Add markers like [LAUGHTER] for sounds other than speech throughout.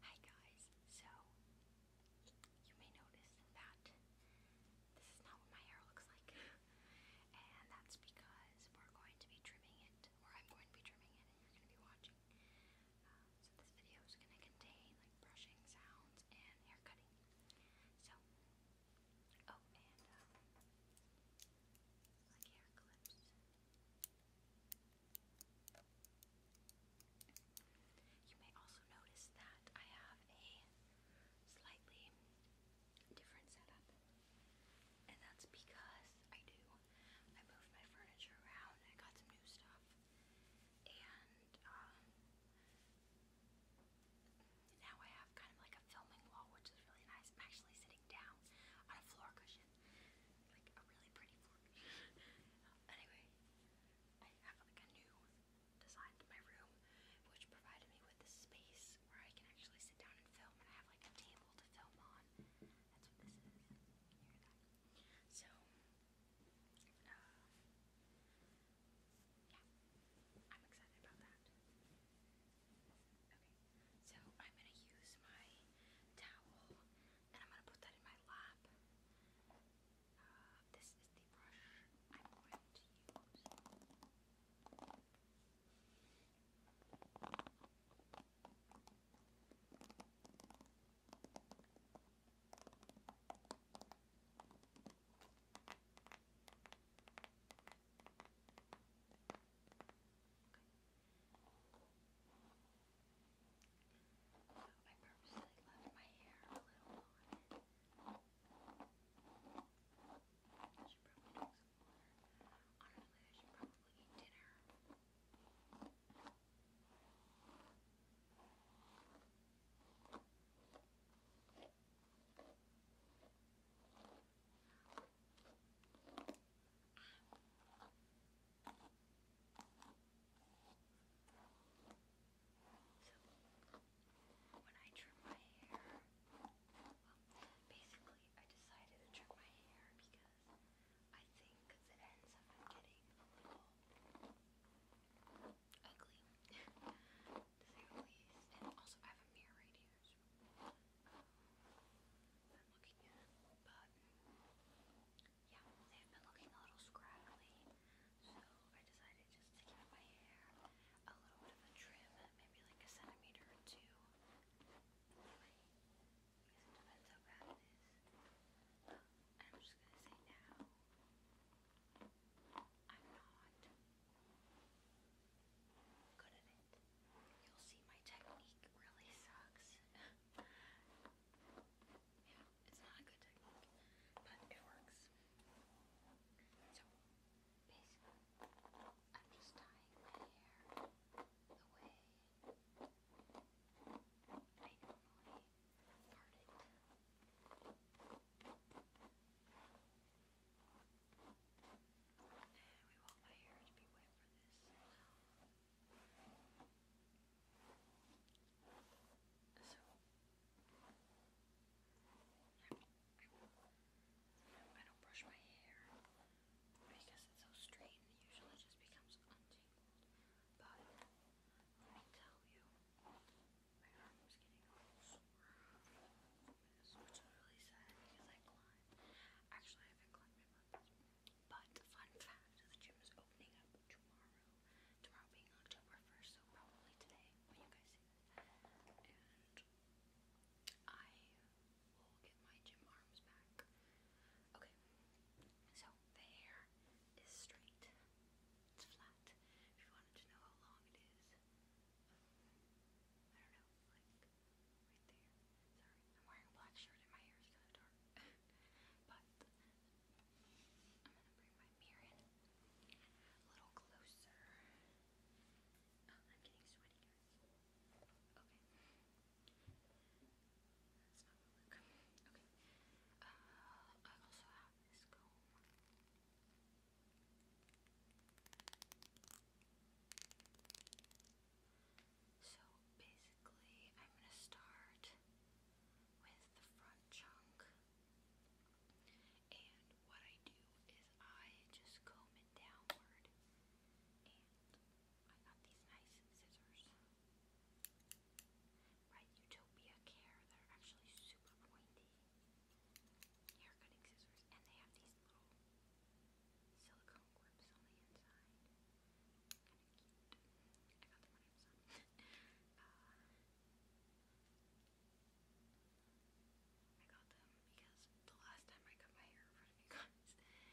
Hi guys, so you may notice that this is not what my hair looks like [LAUGHS] and that's because we're going to be trimming it or I'm going to be trimming it and you're going to be watching. Uh, so this video is going to contain like brushing sounds and hair cutting. So, oh and um, like hair clips. You may also notice that I have a slightly different setup, and that's because I do. I moved my furniture around, I got some new stuff, and um, now I have kind of like a filming wall, which is really nice. I'm actually sitting down on a floor cushion. Like a really pretty floor. [LAUGHS] anyway, I have like a new design to my room, which provided me with a space where I can actually sit down and film, and I have like a table to film on. That's what this is. You So, uh, yeah, I'm excited about that. Okay, so I'm gonna use my towel and I'm going to put that in my lap. Uh, this is the brush I'm going to use. So I purposely left my hair a little on I should probably drink some dinner. So, when I trim my hair, basically I decided to trim my hair because I think the ends have getting a little ugly, [LAUGHS] also, I have a mirror right here, so um, I'm looking at it, but yeah, they've been looking a little scraggly, so I decided just to give my hair a little bit of a trim, maybe like a centimeter or two. because it depends how bad it is. I'm just gonna say now, I'm not good at it. You'll see my technique really sucks. [LAUGHS] Yeah, it's not a good technique, but it works. So, basically, I'm just tying my hair the way I normally part it. And we want my hair to be wet for this. So, I don't brush my hair because it's so straight and usually just becomes untangled. But, let me tell you, my arm was getting sore. Which is really sad because I climbed. Actually, I haven't climbed but fun fact, the gym is opening up tomorrow. Tomorrow being October 1st, so probably today when you guys see this. And I will get my gym arms back. Okay, so the hair is straight. It's flat. If you wanted to know how long it is, um, I don't know, right there. Sorry, I'm wearing a black shirt and my hair is kind of dark. [LAUGHS] But um, I'm gonna bring my mirror in a little closer. I'm getting sweaty, Okay. That's not gonna look. Okay. Uh, I also have this comb. So basically, I'm going to start with the front chunk. And what I do is I just comb it downward. I got these nice scissors by Utopia Care that are actually super pointy hair cutting scissors. And they have these little silicone grips on the inside. I got them because the last time I cut my hair in front of you guys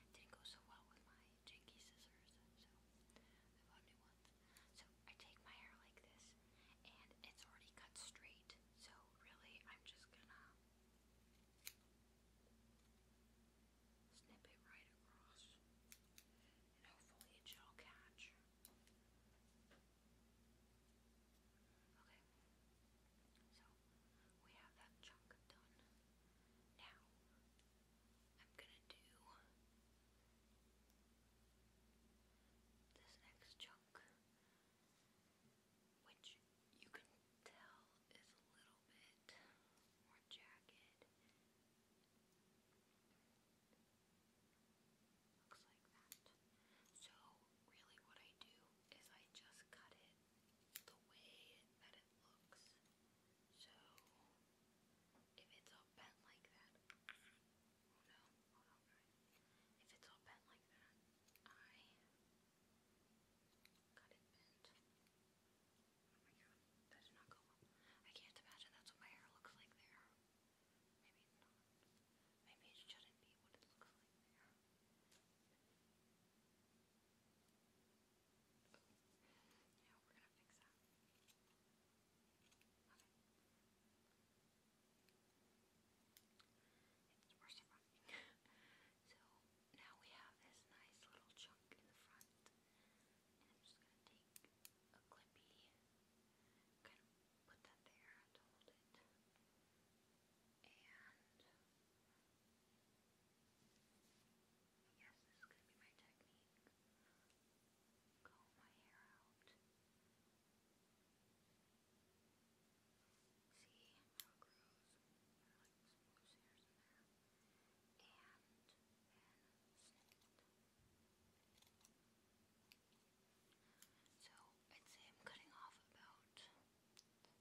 didn't go so well with my janky scissors, so I bought new ones. So I take my hair like this, and it's already cut straight, so really I'm just gonna snip it right across, and hopefully it shall catch. Okay, so we have that chunk done. Now, I'm gonna do this next chunk, which you can tail is a little bit more jagged. Looks like that. So, really, what I do is I just cut it the way that it looks. So, if it's all bent like that, oh no, If it's all bent like that, I cut it bent. That did not go I can't imagine that's what my hair looks like there. Maybe not. Maybe it shouldn't be what it looks like there. Yeah, we're gonna fix that. It's worse than running. so now we have this nice little chunk in the front. And I'm just going to take a clippy, kind of put that there to hold it. And yes, this is going to be my technique. Comb my hair out. See how it grows. There are like some loose hairs in there and then So I'd cutting off about a centimeter, this chunk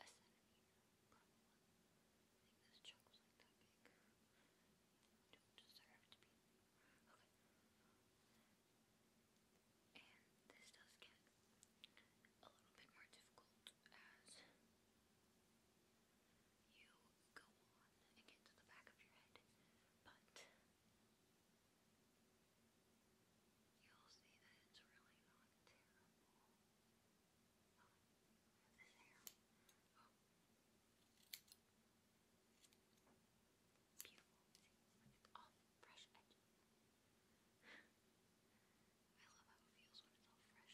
was like that big. Don't deserve to be. Okay. And this does get a little bit more difficult as you go on and get to the back of your head, but you'll see that it's really not terrible. Oh, this hair. Oh. Beautiful. See, it's all fresh edges. I love how it feels when it's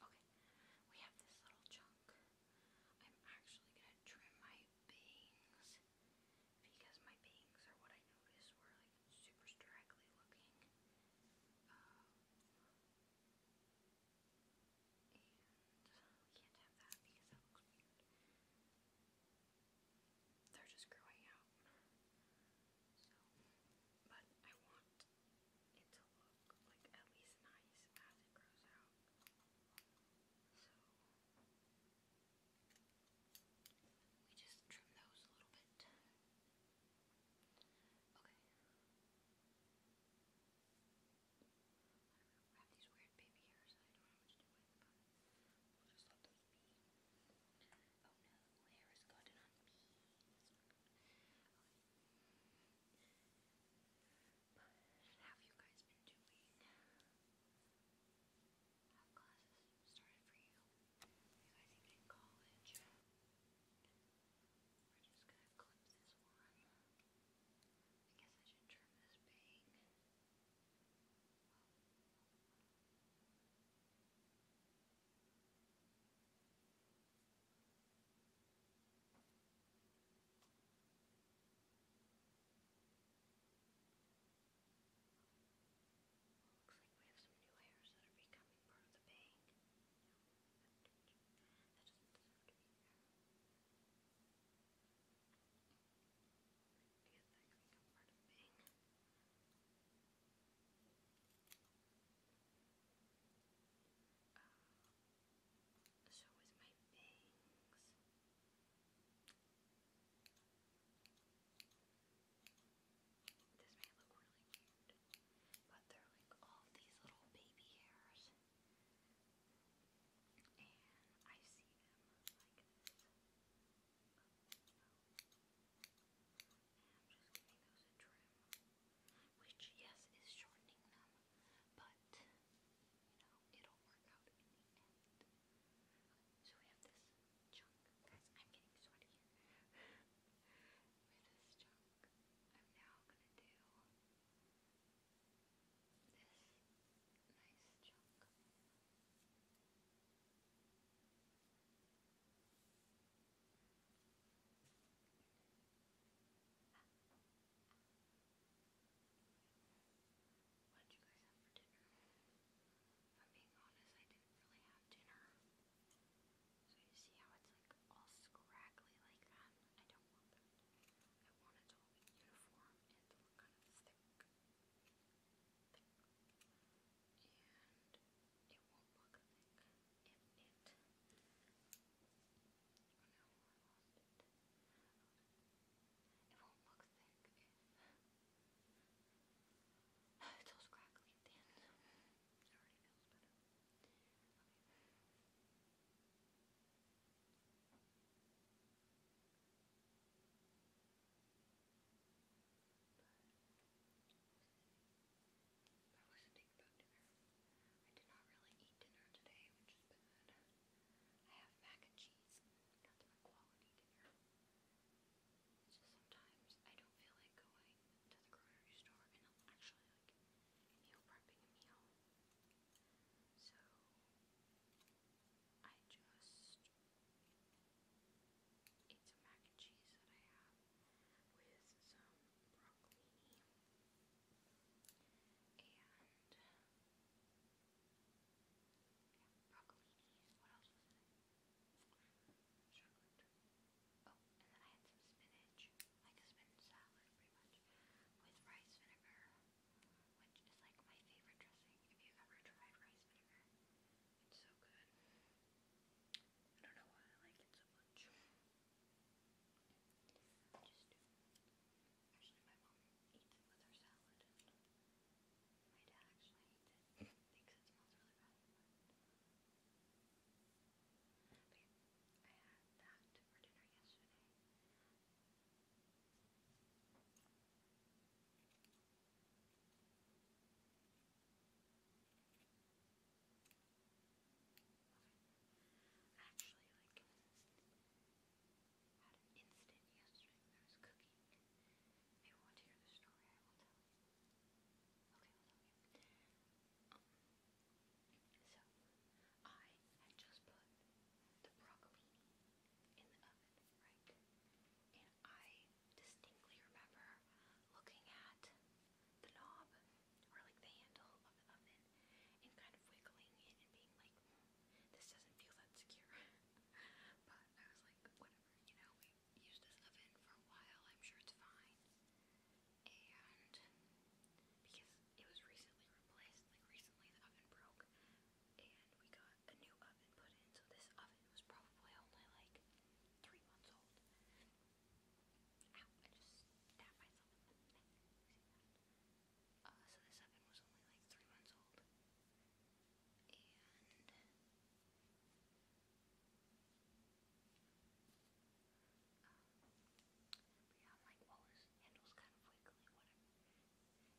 all fresh. Okay, we have this little chunk. I'm actually gonna trim my bangs because my bangs are what I noticed were like super straggly looking. Um, and uh, we can't have that because that looks weird. They're just growing out. So, but I want it to look like at least nice as it grows out. So we just trim those a little bit. Okay. I have these weird baby hairs I don't know what to do we'll just let those be. Oh no, hair has gotten on me. But have you guys been doing? Have classes started for you? You guys even in college? We're just gonna clip this one. I guess I should trim this bang. Oh. Looks like we have some new hairs that are becoming part of the bank. That doesn't deserve to be there. I guess that could become part of the bank. Uh, so is my bangs. This may look really cute, but they're all these little baby hairs, and I see them like this. Oh, i which yes is shortening them, but you know it'll work out So we have this chunk, guys. I'm getting sweaty here. With this chunk, I'm now gonna do this nice chunk. What you I'm being honest, I didn't really have dinner. So you see how it's like all scraggly like that? I don't want that. I want it to all uniform and to look kind of Thick. And it won't look like if it. Oh no, I lost it. It won't look thick if it's all scraggly at the end. It already feels better. Okay. But, I wasn't thinking dinner. I did not really eat dinner today, which is bad. I have mac and cheese. That's my quality dinner. just sometimes I don't feel like going to the grocery store and actually like meal prepping a meal. So I just it's a mac and cheese that I have with some broccolini and yeah, What else was it? Oh, and then I had some spinach, like a spinach salad, pretty much, with rice vinegar, which is like my favorite dressing. If you've ever tried rice vinegar, it's so good. I don't know why I like it so much. Actually, my mom eats it with her salad, my dad actually eats it. Thinks it smells really bad. But I had that for dinner yesterday. I actually like had an instant yesterday I was cooking. If you want to hear the story, I will tell you. Okay, I'll tell you. so I had just put the broccolini in the oven, right? And I distinctly remember looking at the knob or like the handle of the oven and kind of wiggling it and being like, mm, this doesn't feel that secure. [LAUGHS] but I was like, whatever, you know, used this oven for a while, I'm sure it's fine. And because it was recently replaced, like recently the oven broke and we got a new oven put in, so this oven was probably only like three months old. Ow, I the oven was only like three months old. And yeah, I'm like, well, this handle's kind of wiggly, whatever.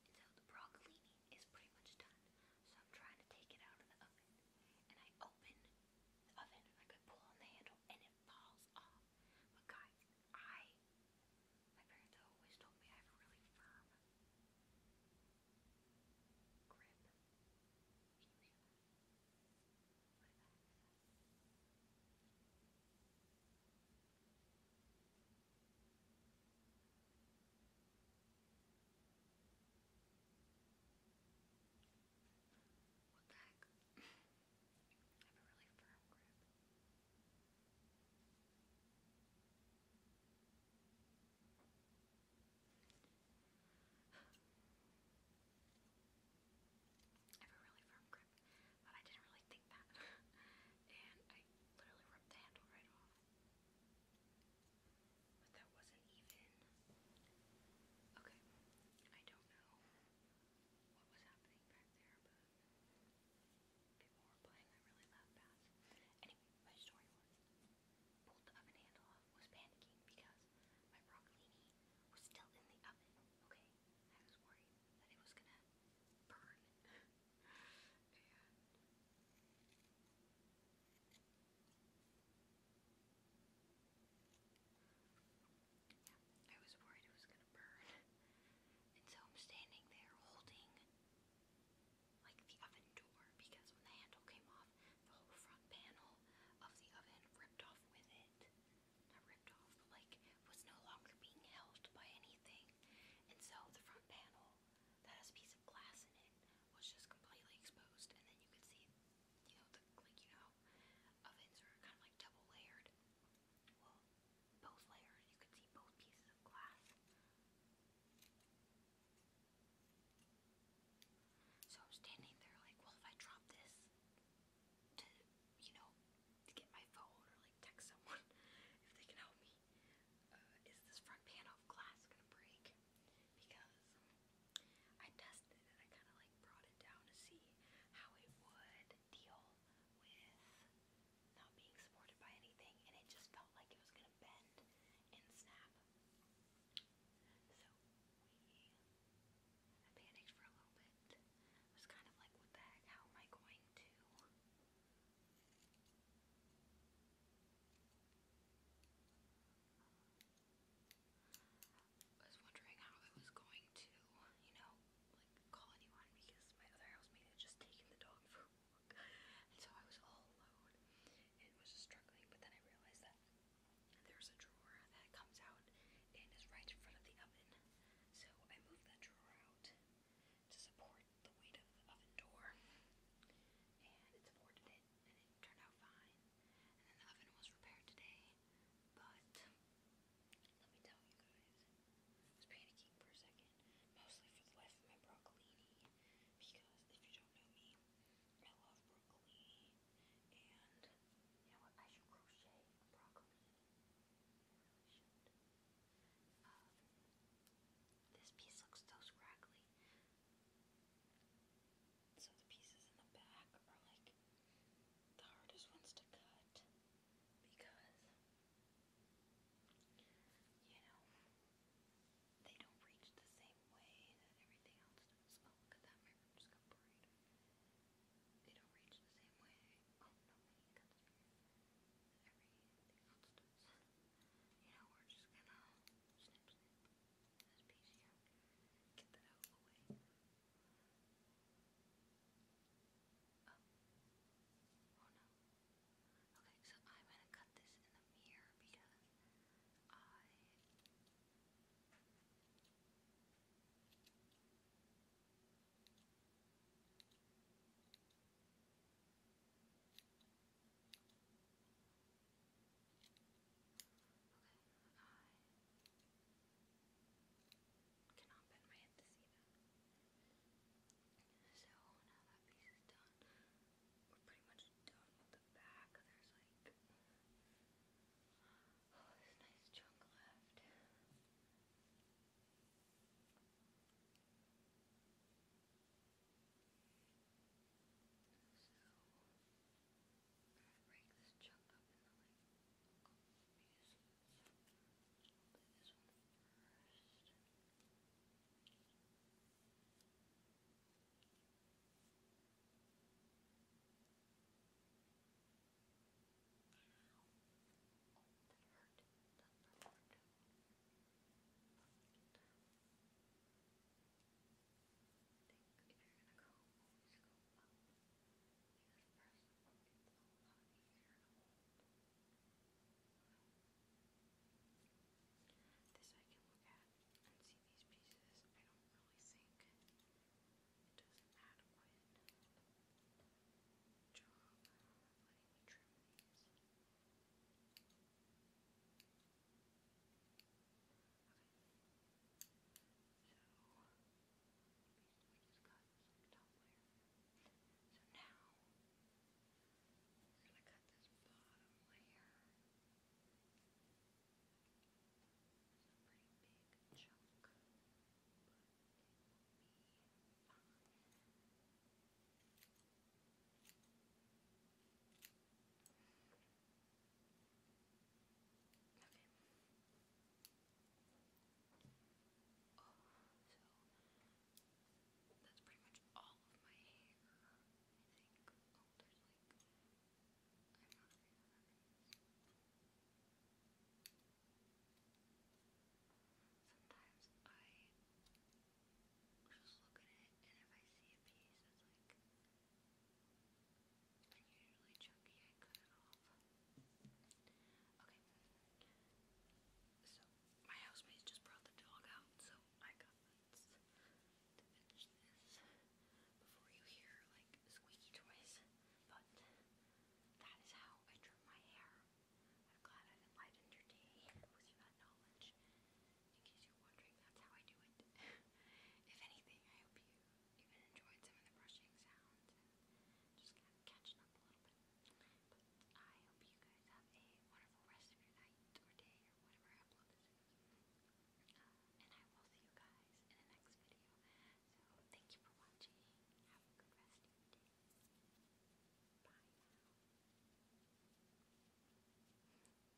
so the broccolini is pretty much done. So I'm trying to take it out of the oven. And I open the I could pull on the handle and it falls off. But guys, I my parents always told me I have really firm grip. you what the I have a really firm grip. I have a really firm grip, but I didn't really think that. [LAUGHS] and I literally ripped the handle right off. But that Okay, I don't know what was happening back there, but people playing that really loud bass. Anyway, my story was pulled the oven handle off, was panicking because my broccolini was still in the oven. Okay, I was worried that it was gonna burn. [LAUGHS] Yeah, I was worried it was going to burn. And so I'm standing there holding like the oven door because when the handle came off, the whole front panel of the oven ripped off with it. Not ripped off, but like was no longer being held by anything. And so the front panel that has a piece of glass in it was just completely exposed and then you could see you know, like, you know, ovens are kind of like double layered. Well, both layers, you can see both pieces of glass. So I'm standing there like, well, if I drop this to, you know, to get my phone or like text someone [LAUGHS] if they can help me, uh, is this front panel of glass gonna break? Because I tested tested and I kind of like brought it down to see how it would deal with not being supported by anything and it just felt like it was going to bend and snap. So we, I panicked for a little bit. I was kind of like, what the heck, how am I going to? I was wondering how I was going to, you know, like call anyone because my other housemate had just taken the dog for a walk. And so I was all alone and was just struggling, but then I realized that there's a drawer that comes out and is right in front of the oven. So I moved that drawer out to support the weight of the oven door. And it supported it and it turned out fine. And the oven was repaired today. But let me tell you guys, I was panicking for a second, mostly for the life of my broccolini, because if you don't know me, I love broccolini, and you know what? I should crochet broccolini. Um, this piece looks so scraggly, so the pieces in the back are like the hardest ones to cut because, you know, they don't reach the same way that everything else does. Oh, oh, you know, we're just gonna snip, snip. This piece oh, Okay, so I'm gonna cut this in the mirror because I uh, I cannot bend my head to see that. So now that piece is done, we're pretty much done with the back. There's like oh, this nice chunk left break this chunk up into like local pieces. I'll do this one first. Ow. That hurt. That hurt think they're gonna go always go up because first of all it's a lot easier to hold. This I can look at and see these pieces. I don't really think it does an adequate job letting me trim these we just got some topware. So now we're gonna cut this bottom layer. It's a pretty big chunk, but it will be fine. Okay. Oh, that's pretty much all of my hair, I think. Sometimes I just look at it and if I see a piece that's like Unusually chunky, I cut it off. Okay. So, my housemates just brought the dog out, so I got this before you hear like squeaky toys. But that is how I trim my hair. I'm glad i enlightened your day with that knowledge in case you're wondering, that's how I do it. [LAUGHS] if anything, I hope you even enjoyed some of the brushing sounds just catching up a little bit. I hope you guys have a wonderful rest of your night or day or whatever uh, and I will see you guys in the next video. So thank you for watching. Have a good rest of your day. Bye